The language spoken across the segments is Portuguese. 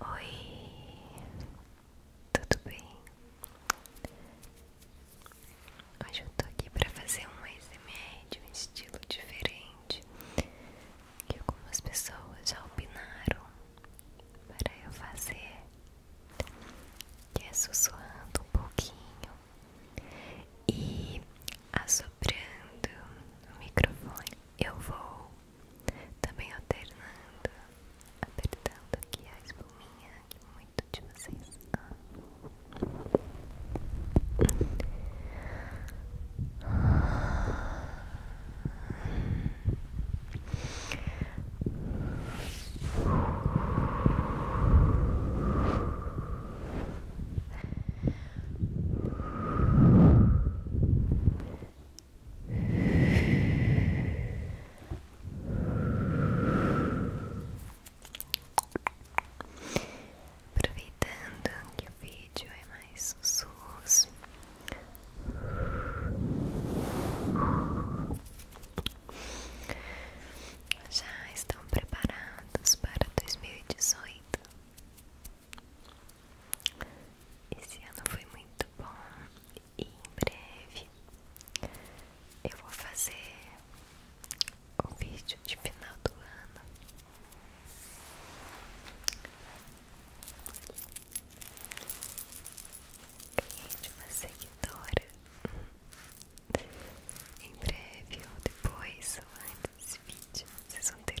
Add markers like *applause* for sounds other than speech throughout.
Oi, tudo bem? Hoje eu tô aqui pra fazer um ASMR de um estilo diferente que algumas pessoas já opinaram para eu fazer, que é sussurrando um pouquinho e assoprando o microfone. Eu vou também alternando, apertando aqui a espuminha que muito de vocês Aproveitando que o vídeo é mais sussurros, já estão preparados para dois mil e dezoito. Esse ano foi muito bom e em breve eu vou fazer o vídeo de final do ano. Ganhei de uma seguidora. Em breve ou depois ou vídeo, vocês vão ter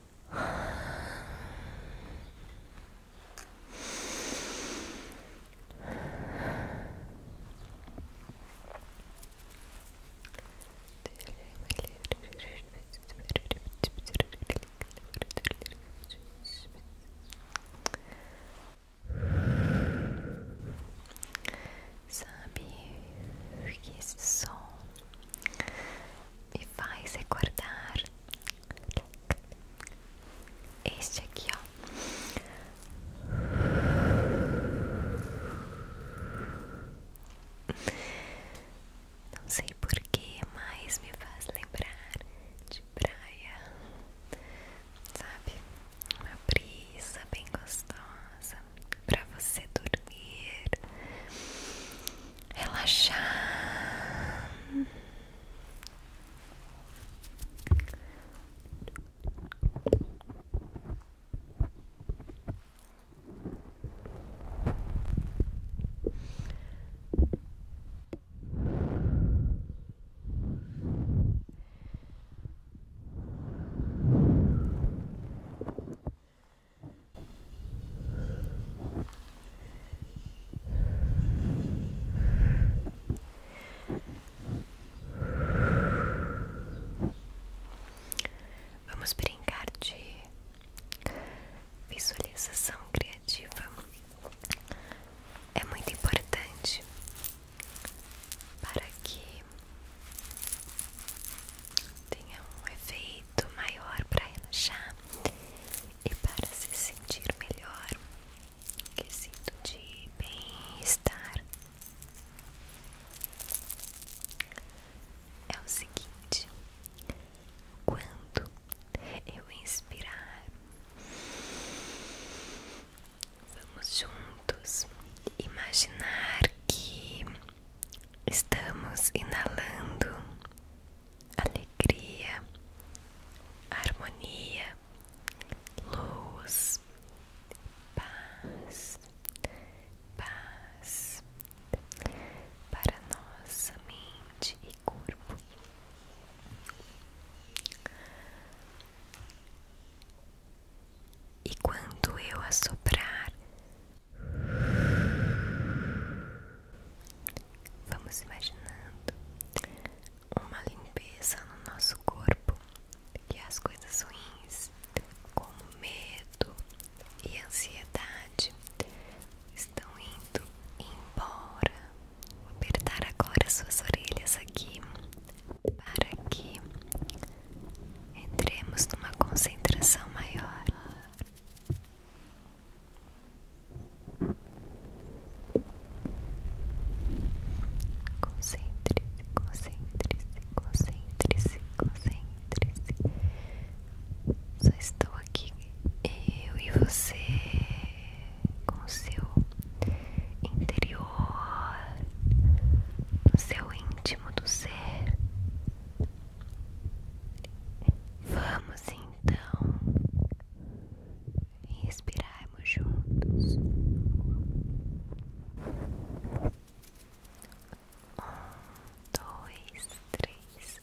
Sabe que esse som me faz recordar este aqui, ó. Não sei por que mas me faz lembrar de praia, sabe? Uma brisa bem gostosa pra você dormir relaxar. Relaxa. Vamos brincar de visualização criativa. É muito importante para que tenha um efeito jeito maior para relaxar e para se sentir melhor. Que sinto de bem-estar. É o seguinte: quando eu inspirar, vamos juntos imaginar que Estamos inalando alegria, harmonia, luz, paz, paz para nossa mente e corpo. E quando eu soprar Vamos imaginando uma limpeza no nosso corpo que é as coisas ruins, como medo e ansiedade, estão indo embora. Vou apertar agora suas orelhas aqui para que Entremos numa concentração maior. Concentre-se, concentre-se, concentre-se, concentre-se. Só estou aqui eu e você com o seu interior, no seu íntimo do ser, Vamos então respirarmos juntos. Um, dois, três.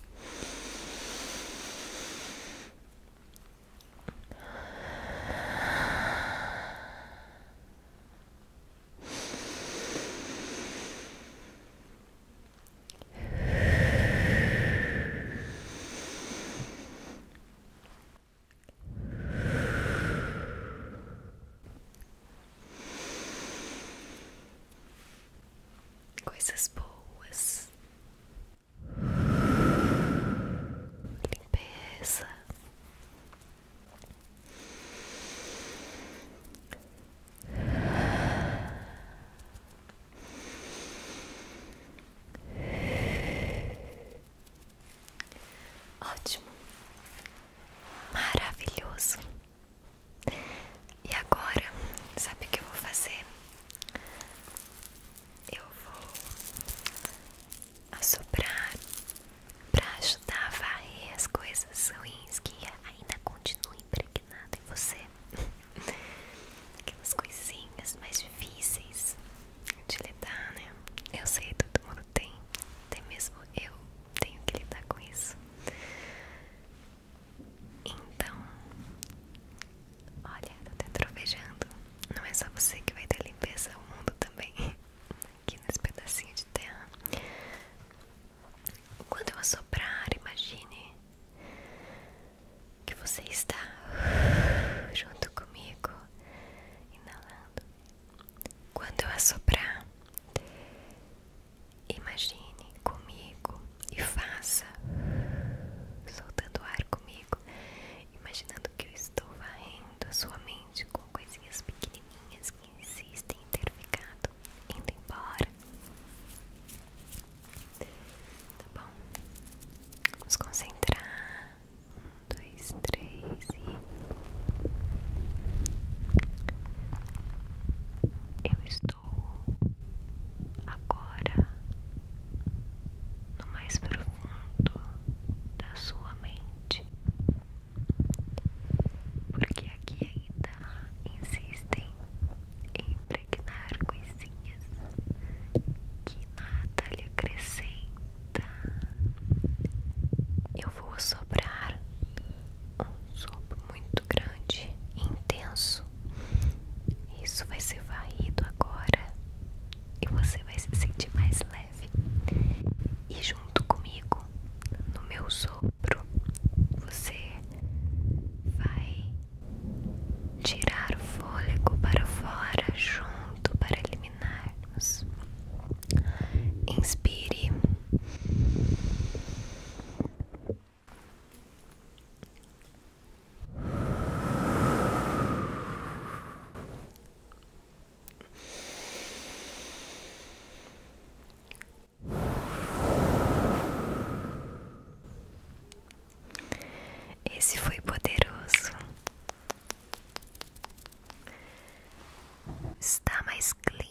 Coisas boas, limpeza, Ótimo, maravilhoso. E agora, sabe o que eu vou fazer? Eu vou a assoprar para ajudar a varrer as coisas ruins que ainda continuam impregnadas em você. *laughs* Aquelas coisinhas mais difíceis de lidar, né? Eu sei, todo mundo tem, até mesmo eu tenho que lidar com isso. Então, olha, eu até trovejando. Não é só você que vai ter limpeza, o mundo também. *laughs* aqui nesse pedacinho de terra. Quando eu assoprar, imagine que você está junto comigo, inalando. Quando eu assoprar, imagine comigo e faça soltando ar comigo imaginando que eu estou varrendo a sua mente com coisinhas pequenininhas que insistem em ter ficado indo embora. Tá bom? Vamos concentrar. Um, dois, três e. Eu estou agora no mais profundo da sua mente porque aqui ainda insistem em pregar coisinhas que nada lhe acrescenta. Eu vou sobrar um sopro muito grande e intenso. Isso vai ser varrido agora e você vai se sentir mais leve. E junto comigo, no meu sopro, você vai tirar o fôlego para fora, junto para eliminarmos. Inspire. Esse foi poderoso. Está mais clean.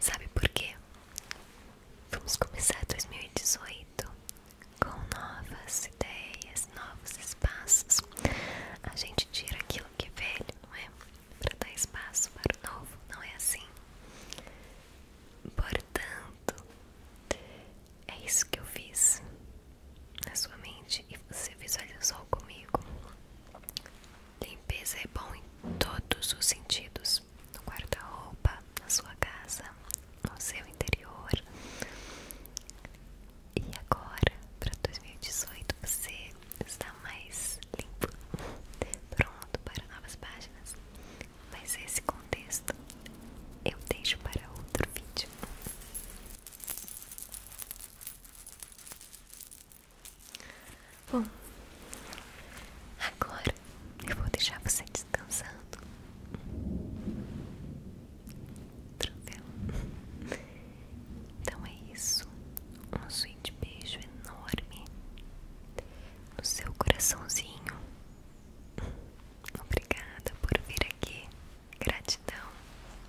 Sabe por quê? Vamos começar dois mil e dezoito com novas ideias, novos espaços. A gente tira aquilo que é velho, não é? Para dar espaço para o novo, não é assim? Portanto, é isso que eu fiz na sua mente e você visualizou comigo. Limpeza é bom em todos os sentidos: no guarda-roupa, na sua casa, no seu interior, e agora, para 2018, você está mais limpo, pronto para novas páginas. Mas esse contexto eu deixo para outro vídeo. Bom, agora eu vou deixar você descansando então é isso Um suíte beijo enorme No seu coraçãozinho Obrigada por vir aqui Gratidão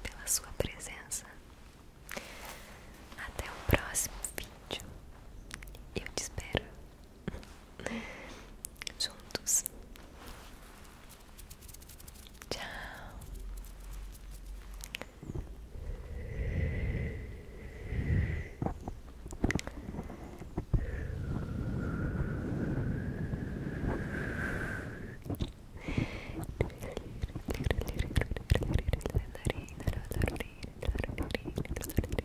pela sua presença até o próximo vídeo. Eu te espero juntos. Tchau.